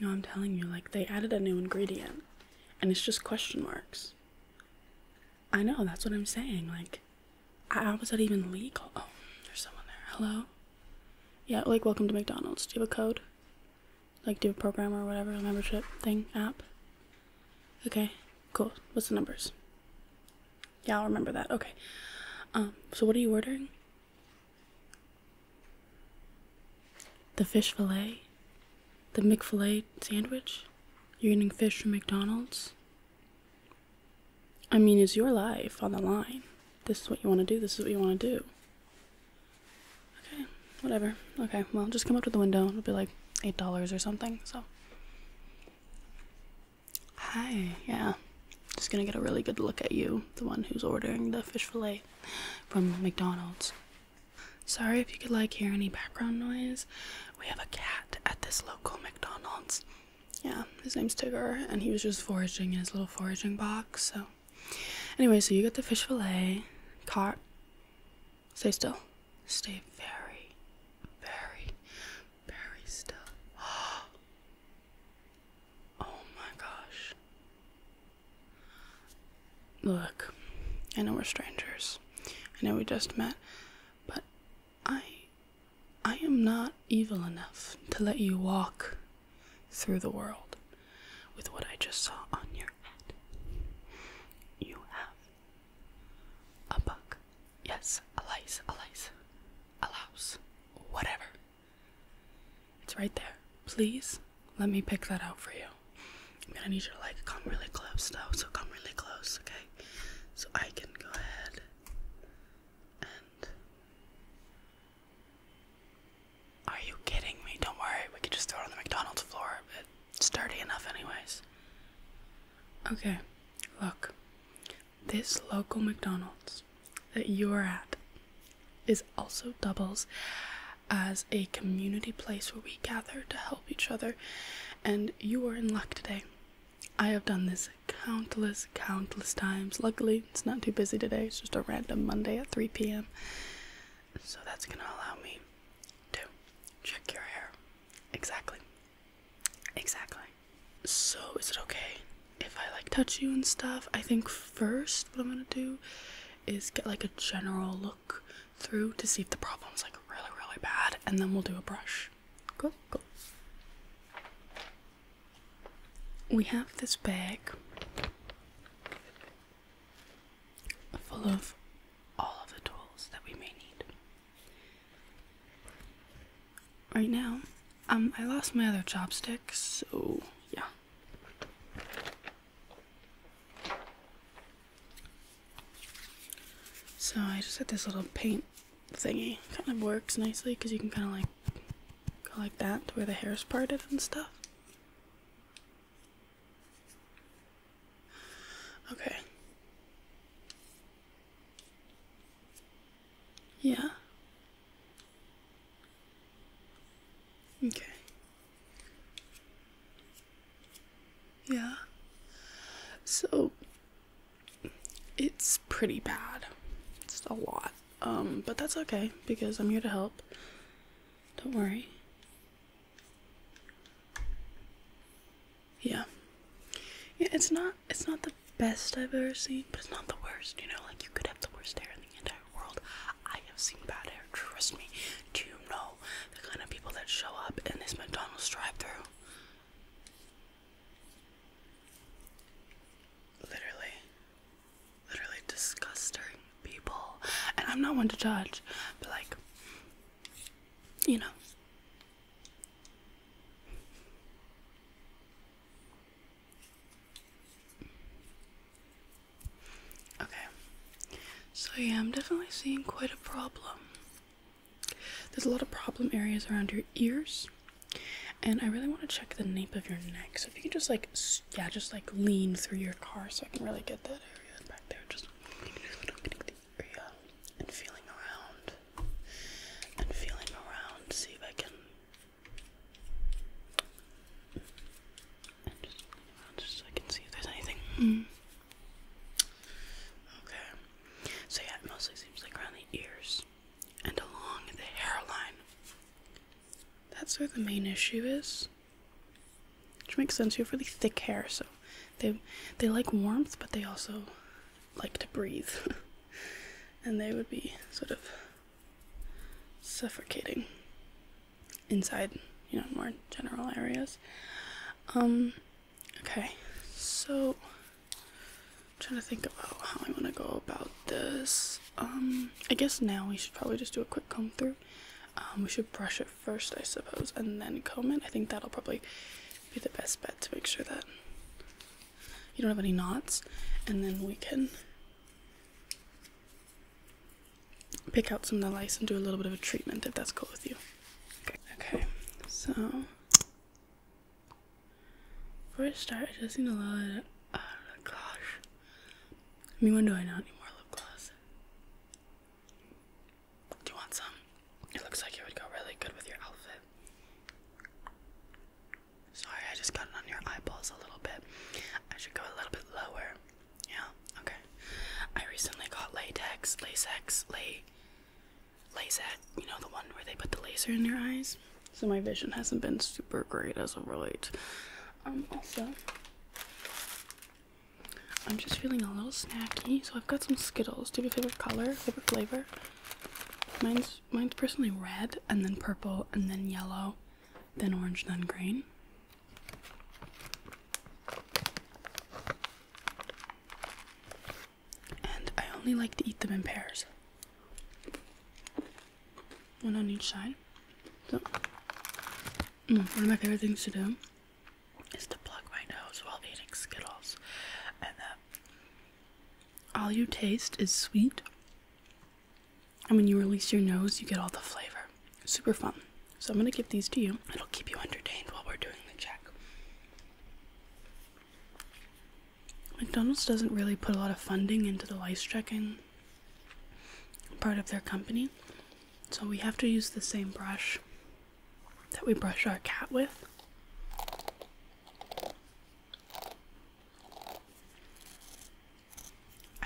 No, I'm telling you, like, they added a new ingredient and it's just question marks. I know, that's what I'm saying. Like, how was that even legal? Oh, there's someone there. Hello? Yeah, like, welcome to McDonald's. Do you have a code? Like, do a program or whatever, membership thing, app? Okay, cool. What's the numbers? Yeah, I'll remember that. Okay. Um, so what are you ordering? The fish fillet, the McFillet sandwich. You're eating fish from McDonald's. I mean, is your life on the line? This is what you want to do. This is what you want to do. Okay, whatever. Okay, well, just come up to the window. It'll be like $8 or something, so. Hi, yeah. Just gonna get a really good look at you, the one who's ordering the fish fillet from McDonald's. Sorry if you could like hear any background noise. We have a cat at this local McDonald's. Yeah, his name's Tigger, and he was just foraging in his little foraging box. So, anyway, so you got the fish fillet, caught. Stay still. Stay very, very, Berry stuff. Oh my gosh. Look, I know we're strangers. I know we just met, but I I am not evil enough to let you walk through the world with what I just saw on your head. You have a buck. Yes, a lice, a lice, a louse, whatever. It's right there. Please let me pick that out for you. I'm gonna need you to like come really close though, so come really close, okay? So I can go ahead and. Are you kidding me? Don't worry, we could just throw it on the McDonald's floor. It's dirty enough, anyways. Okay, look this local McDonald's that you are at is also doubles as a community place where we gather to help each other, and you are in luck today. I have done this countless, countless times. Luckily, it's not too busy today, it's just a random Monday at 3 p.m. So that's gonna allow me to check your hair. Exactly. Exactly. So, is it okay if I like touch you and stuff? I think first, what I'm gonna do is get like a general look through to see if the problem's like really, really bad, and then we'll do a brush. Cool, cool. We have this bag full of all of the tools that we may need. Right now, um, I lost my other chopsticks, so yeah. So I just had this little paint thingy. Kind of works nicely because you can kind of like go like that to where the hair is parted and stuff. Okay. Yeah. Okay. Yeah. So it's pretty bad. It's a lot. Um, but that's okay because I'm here to help. Don't worry. Yeah. Yeah, it's not it's not the best I've ever seen, but it's not the worst, you know, like you could have the worst hair in the entire world. I have seen bad hair, trust me. Do you know the kind of people that show up in this McDonald's drive through? Literally, literally disgusting people. And I'm not one to judge, but like, you know. Okay. So yeah, I'm definitely seeing quite a problem. There's a lot of problem areas around your ears. And I really want to check the nape of your neck. So if you can just like, yeah, just like lean through your car so I can really get that area back there. Just getting the area and feeling around and feeling around. See if I can just looking around just so I can see if there's anything. Okay. So yeah, it mostly seems like around the ears and along the hairline. That's where the main issue is. Which makes sense. You have really thick hair, so they they like warmth, but they also like to breathe. and they would be sort of suffocating inside, you know, more general areas. Um, okay, so I'm trying to think about how I want to go about this. Um, I guess now we should probably just do a quick comb through. Um, we should brush it first, I suppose, and then comb it. I think that'll probably be the best bet to make sure that you don't have any knots and then we can pick out some of the lice and do a little bit of a treatment if that's cool with you okay, okay. so before I start I just need a little bit oh I mean when do I not anymore lip gloss do you want some it looks like it would go really good with your outfit Sorry, I just got it on your eyeballs a little bit. I should go a little bit lower. Yeah, okay. I recently got latex, lasex, lay, laser. You know the one where they put the laser in your eyes. So my vision hasn't been super great as of late. Um, also, I'm just feeling a little snacky, so I've got some Skittles. Do you a favorite color, favorite flavor? Mine's mine's personally red and then purple and then yellow, then orange, then green. And I only like to eat them in pairs. One on each side. So mm, one of my favorite things to do is to plug my nose while eating Skittles. And uh, all you taste is sweet, and when you release your nose, you get all the flavor. Super fun. So I'm gonna give these to you. It'll keep you entertained while we're doing the check. McDonald's doesn't really put a lot of funding into the lice checking part of their company, so we have to use the same brush that we brush our cat with.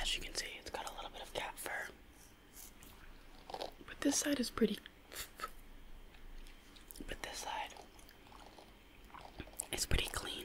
As you can see, it's got a little bit of cat fur. But this side is pretty. But this side is pretty clean.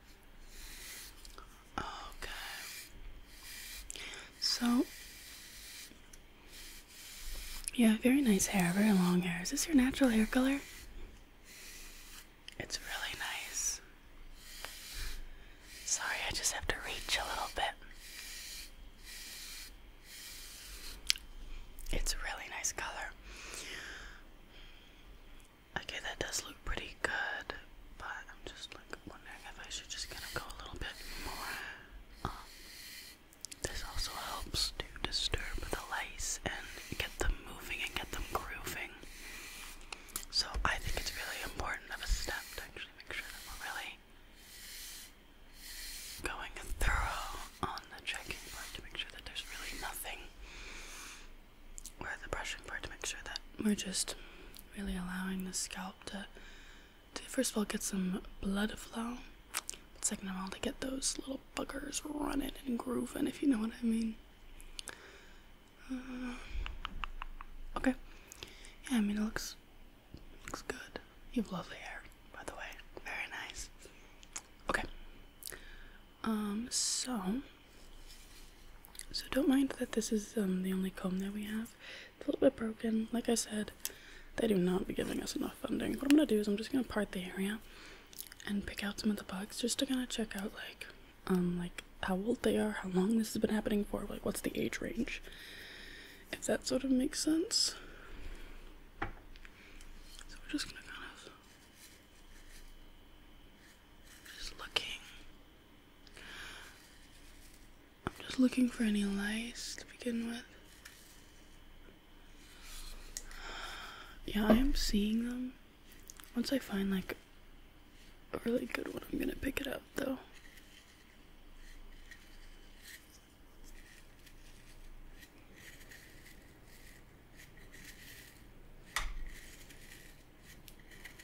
Okay. So, yeah, very nice hair, very long hair. Is this your natural hair color? It's really nice. Sorry, I just have to reach a little bit. It's a really nice color. Okay, that does look pretty good, but I'm just like wondering if I should just kind of go a little bit more. Um, this also helps to disturb the lice and get them moving and get them grooving. So I think it's really important of a step to actually make sure that we're really going thorough on the checking part to make sure that there's really nothing or the brushing part to make sure that we're just really allowing the scalp to, to first of all get some blood flow, second of all to get those little buggers running and grooving, if you know what I mean. Uh, okay, yeah, I mean it looks looks good. You have lovely hair, by the way, very nice. Okay, um, so. So don't mind that this is um, the only comb that we have. It's a little bit broken. Like I said, they do not be giving us enough funding. What I'm gonna do is I'm just gonna part the area and pick out some of the bugs just to kind of check out like um like how old they are, how long this has been happening for, like what's the age range. If that sort of makes sense. So we're just gonna kind of just looking I'm just looking for any lice to begin with. Yeah, I am seeing them. Once I find like a really good one, I'm gonna pick it up though.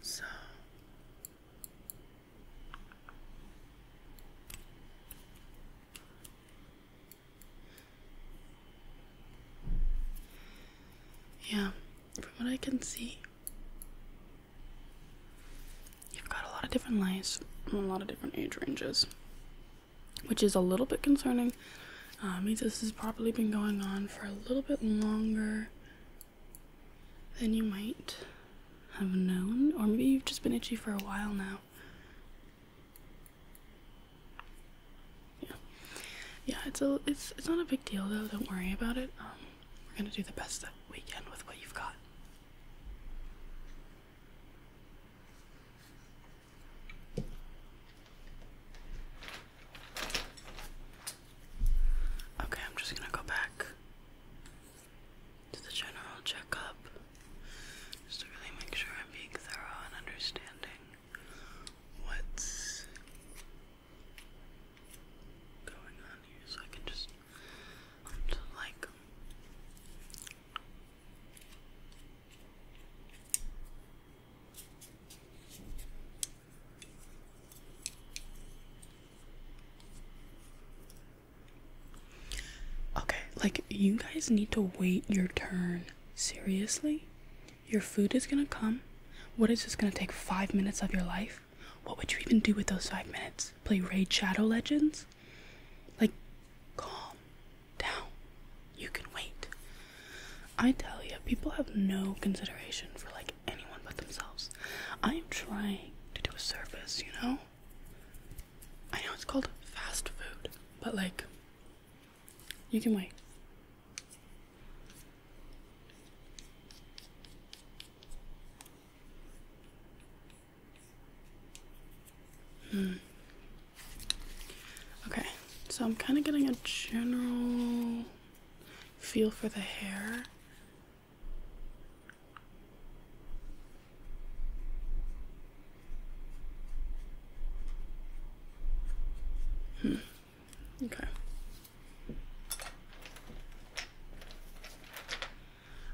So yeah, from what I can see, you've got a lot of different lights from a lot of different age ranges, which is a little bit concerning. Um, means this has probably been going on for a little bit longer then you might have known, or maybe you've just been itchy for a while now. Yeah, yeah. It's a it's it's not a big deal though. Don't worry about it. Um, we're gonna do the best that we can with what you've got. Okay, I'm just gonna go back to the general checkup just to really make sure I'm being thorough and understanding what's going on here so I can just, like Okay, like you guys need to wait your turn. Seriously? Your food is gonna come. What is this gonna take five minutes of your life? What would you even do with those five minutes? Play Raid Shadow Legends? Like, calm down. You can wait. I tell you, people have no consideration for like anyone but themselves. I am trying to do a service, you know? I know it's called fast food, but like, you can wait. Hmm. Okay, so I'm kind of getting a general feel for the hair. Hmm. Okay.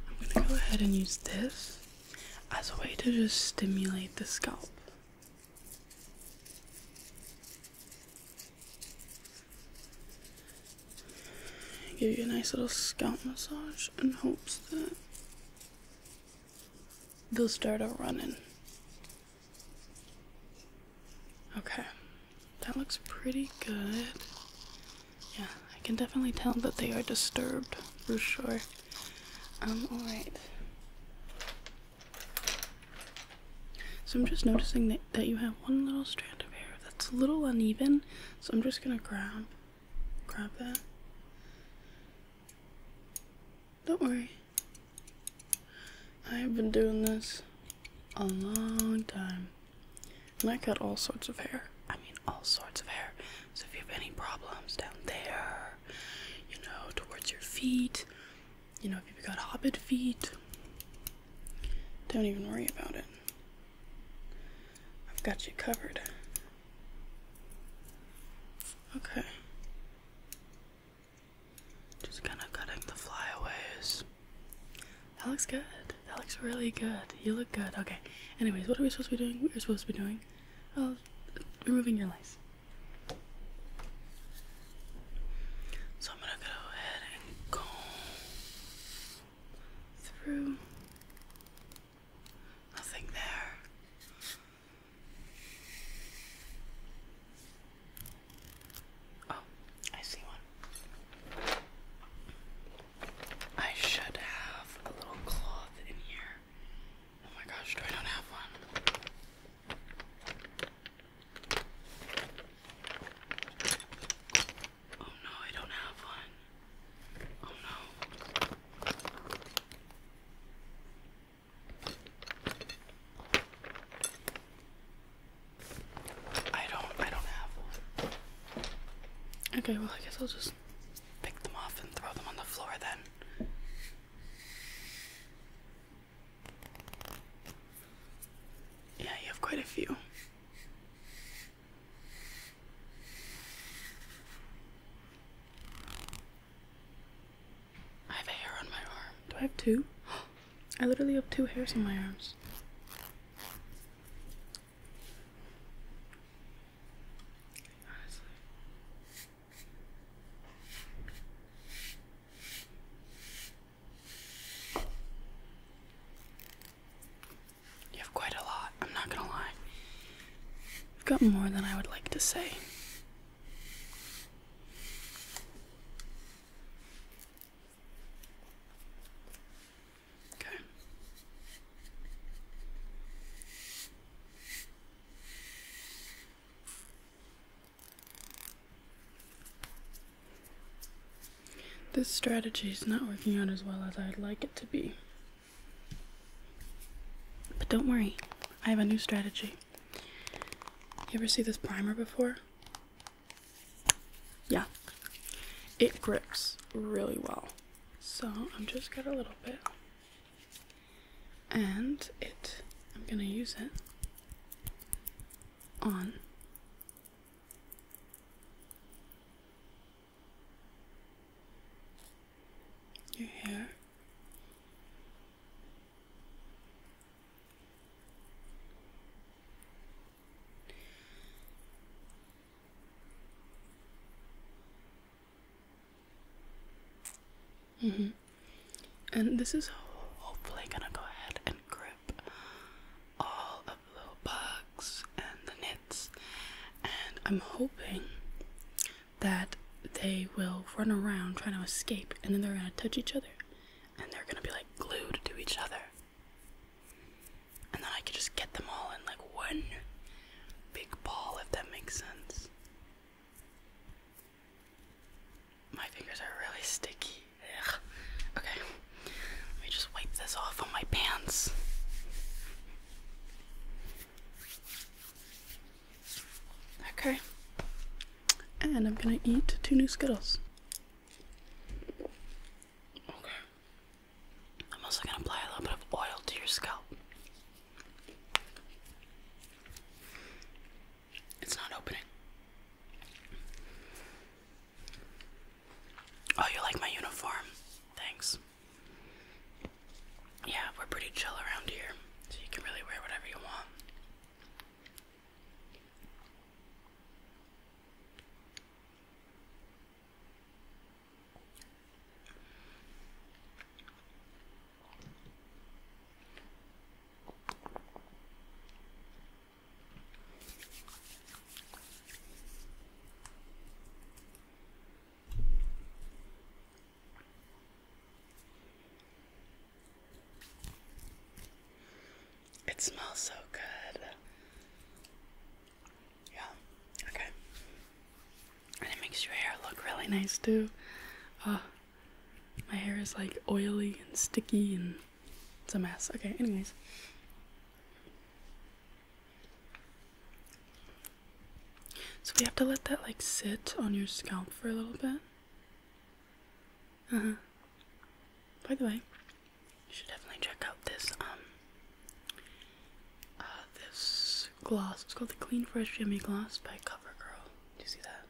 I'm going to go ahead and use this as a way to just stimulate the scalp. Give you a nice little scalp massage in hopes that they'll start a running. Okay, that looks pretty good. Yeah, I can definitely tell that they are disturbed for sure. I'm um, all alright. So I'm just noticing that, that you have one little strand of hair that's a little uneven. So I'm just gonna grab grab that. Don't worry. I have been doing this a long time. And I cut all sorts of hair. I mean all sorts of hair. So if you have any problems down there, you know, towards your feet, you know, if you've got hobbit feet, don't even worry about it. I've got you covered. Okay. Just kind of cutting the flyaways. That looks good. That looks really good. You look good. Okay. Anyways, what are we supposed to be doing? We're supposed to be doing, uh, removing your lice. So I'm going to go ahead and go through. Nothing there. Oh, I see one. I should have a little cloth in here. Oh my gosh, do I not have one? Oh no, I don't have one. Oh no. I don't I don't have one. Okay, well I guess I'll just pick them off and throw them on the floor then. Yeah, you have quite a few. I have hair on my arm. Do I have two? I literally have two hairs on my arms. You have quite a lot, I'm not gonna lie. You've got more than I would like to say. Okay. This strategy is not working out as well as I'd like it to be. But don't worry, I have a new strategy. You ever see this primer before? Yeah. It grips really well. So I'm just got a little bit and it I'm gonna use it on your hair. Mm -hmm. And this is hopefully gonna go ahead and grip all of the little bugs and the nits, and I'm hoping that they will run around trying to escape, and then they're gonna touch each other, and they're gonna be like glued to each other, and then I could just get them all in like one big ball, if that makes sense. My fingers are really sticky. Okay, let me just wipe this off on my pants. Okay, and I'm gonna eat two new Skittles. Okay, I'm also gonna apply a little bit of oil to your scalp. It's not opening. Oh, you like my uniform? Thanks. Yeah, we're pretty chill around here, so you can really wear whatever you want. It smells so good. Yeah, okay. And it makes your hair look really nice too. Oh, my hair is like oily and sticky and it's a mess. Okay, anyways. So we have to let that like sit on your scalp for a little bit. Uh-huh. By the way, you should definitely check out this um uh this gloss. It's called the Clean Fresh Jimmy Gloss by CoverGirl. Do you see that?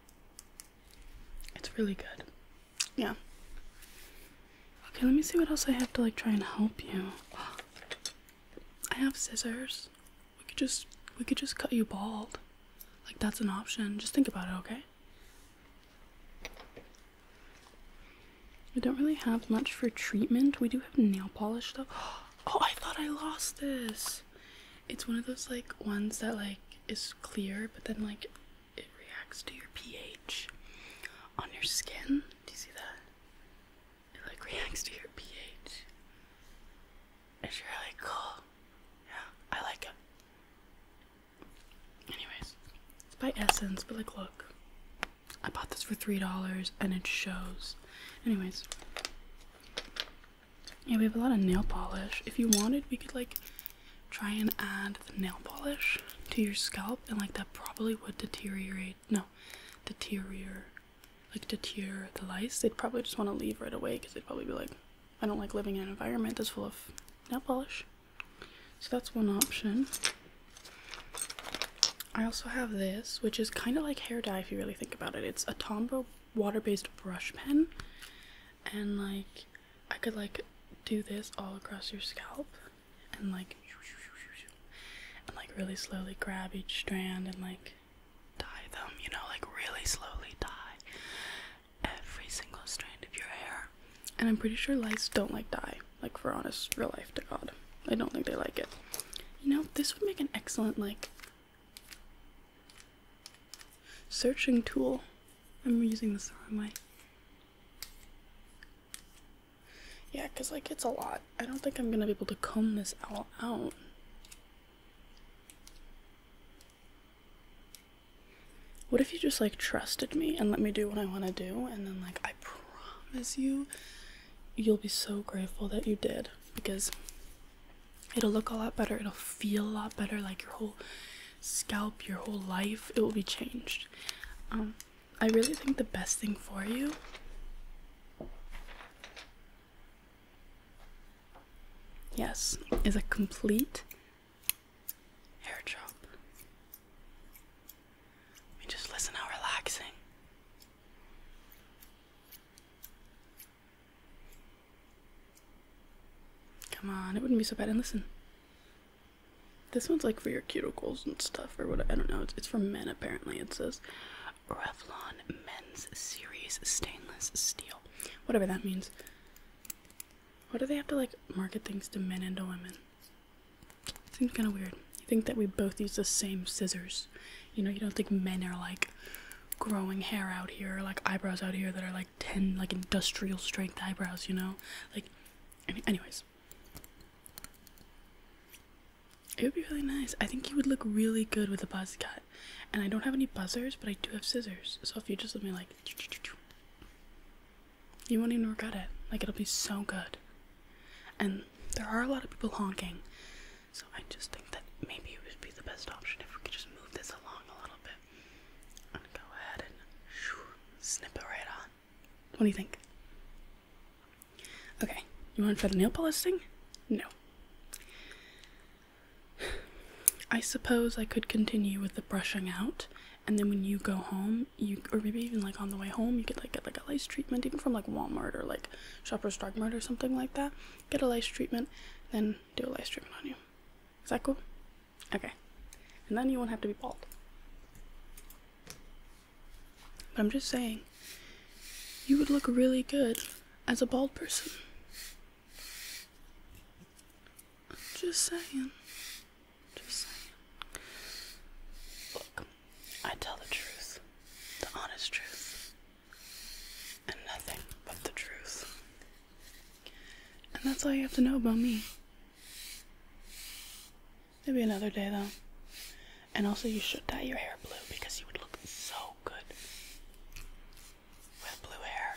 It's really good. Yeah. Okay, let me see what else I have to like try and help you. I have scissors. We could just we could just cut you bald. Like that's an option. Just think about it, okay? I don't really have much for treatment. We do have nail polish though. Oh, I thought I lost this it's one of those like ones that like is clear but then like it reacts to your pH on your skin. Do you see that? It like reacts to your pH. It's really cool. Yeah, I like it. Anyways, it's by Essence, but like look. I bought this for $3 and it shows. Anyways, yeah, we have a lot of nail polish. If you wanted, we could like try and add the nail polish to your scalp, and like that probably would deteriorate. No, deteriorate, like deter the lice. They'd probably just want to leave right away because they'd probably be like, I don't like living in an environment that's full of nail polish. So that's one option. I also have this, which is kind of like hair dye if you really think about it. It's a Tombow water-based brush pen and like I could like do this all across your scalp and like and like really slowly grab each strand and like dye them, you know, like really slowly dye every single strand of your hair. And I'm pretty sure lice don't like dye, like for honest real life to God. I don't think they like it. You know, this would make an excellent like Searching tool. I'm using this the wrong way. Yeah, because, like, it's a lot. I don't think I'm going to be able to comb this all out. What if you just, like, trusted me and let me do what I want to do, and then, like, I promise you, you'll be so grateful that you did. Because it'll look a lot better it'll feel a lot better like your whole scalp your whole life it will be changed um, i really think the best thing for you yes is a complete hair drop. I mean, just listen how relaxing Come on, it wouldn't be so bad. And listen, this one's like for your cuticles and stuff, or what? I don't know. It's, for men apparently. It says Revlon Men's Series Stainless Steel, whatever that means. Why do they have to like market things to men and to women? Seems kind of weird. You think that we both use the same scissors? You know, you don't think men are like growing hair out here, like eyebrows out here that are like 10 like industrial strength eyebrows, you know? Like anyways. It would be really nice. I think you would look really good with a buzz cut. And I don't have any buzzers, but I do have scissors. So if you just let me like you won't even regret it. Like it'll be so good. And there are a lot of people honking. So I just think that maybe it would be the best option if we could just move this along a little go ahead and snip it right on. What do you think? Okay, you want for the nail polish thing? No. I suppose I could continue with the brushing out, and then when you go home, you or maybe even like on the way home, you could like get like a lice treatment, even from like Walmart or like Shoppers Drug Mart or something like that. Get a lice treatment, then do a live streaming on you. Is that cool? Okay. And then you won't have to be bald. But I'm just saying, you would look really good as a bald person. just saying. Just saying. Look, I tell the truth. The honest truth and nothing but the truth. And that's all you have to know about me. Maybe another day, though. And also, you should dye your hair blue because you would look so good with blue hair.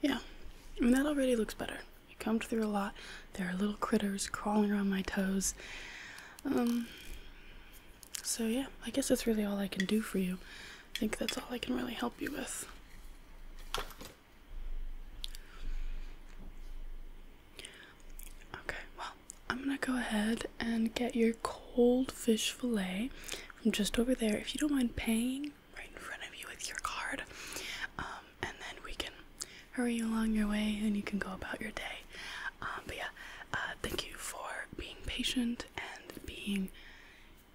Yeah, I mean, that already looks better. I combed through a lot. There are little critters crawling around my toes. Um, so yeah i guess that's really all i can do for you i think that's all i can really help you with okay well i'm gonna go ahead and get your cold fish fillet from just over there if you don't mind paying right in front of you with your card um, and then we can hurry you along your way and you can go about your day way. Um, but yeah, uh, thank you for being patient and being,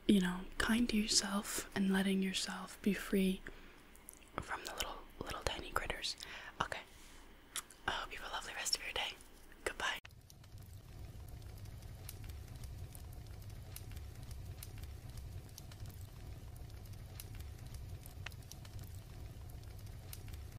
you know, kind to yourself and letting yourself be free from the little, little tiny critters. Okay. I hope you have a lovely rest of your day. Goodbye.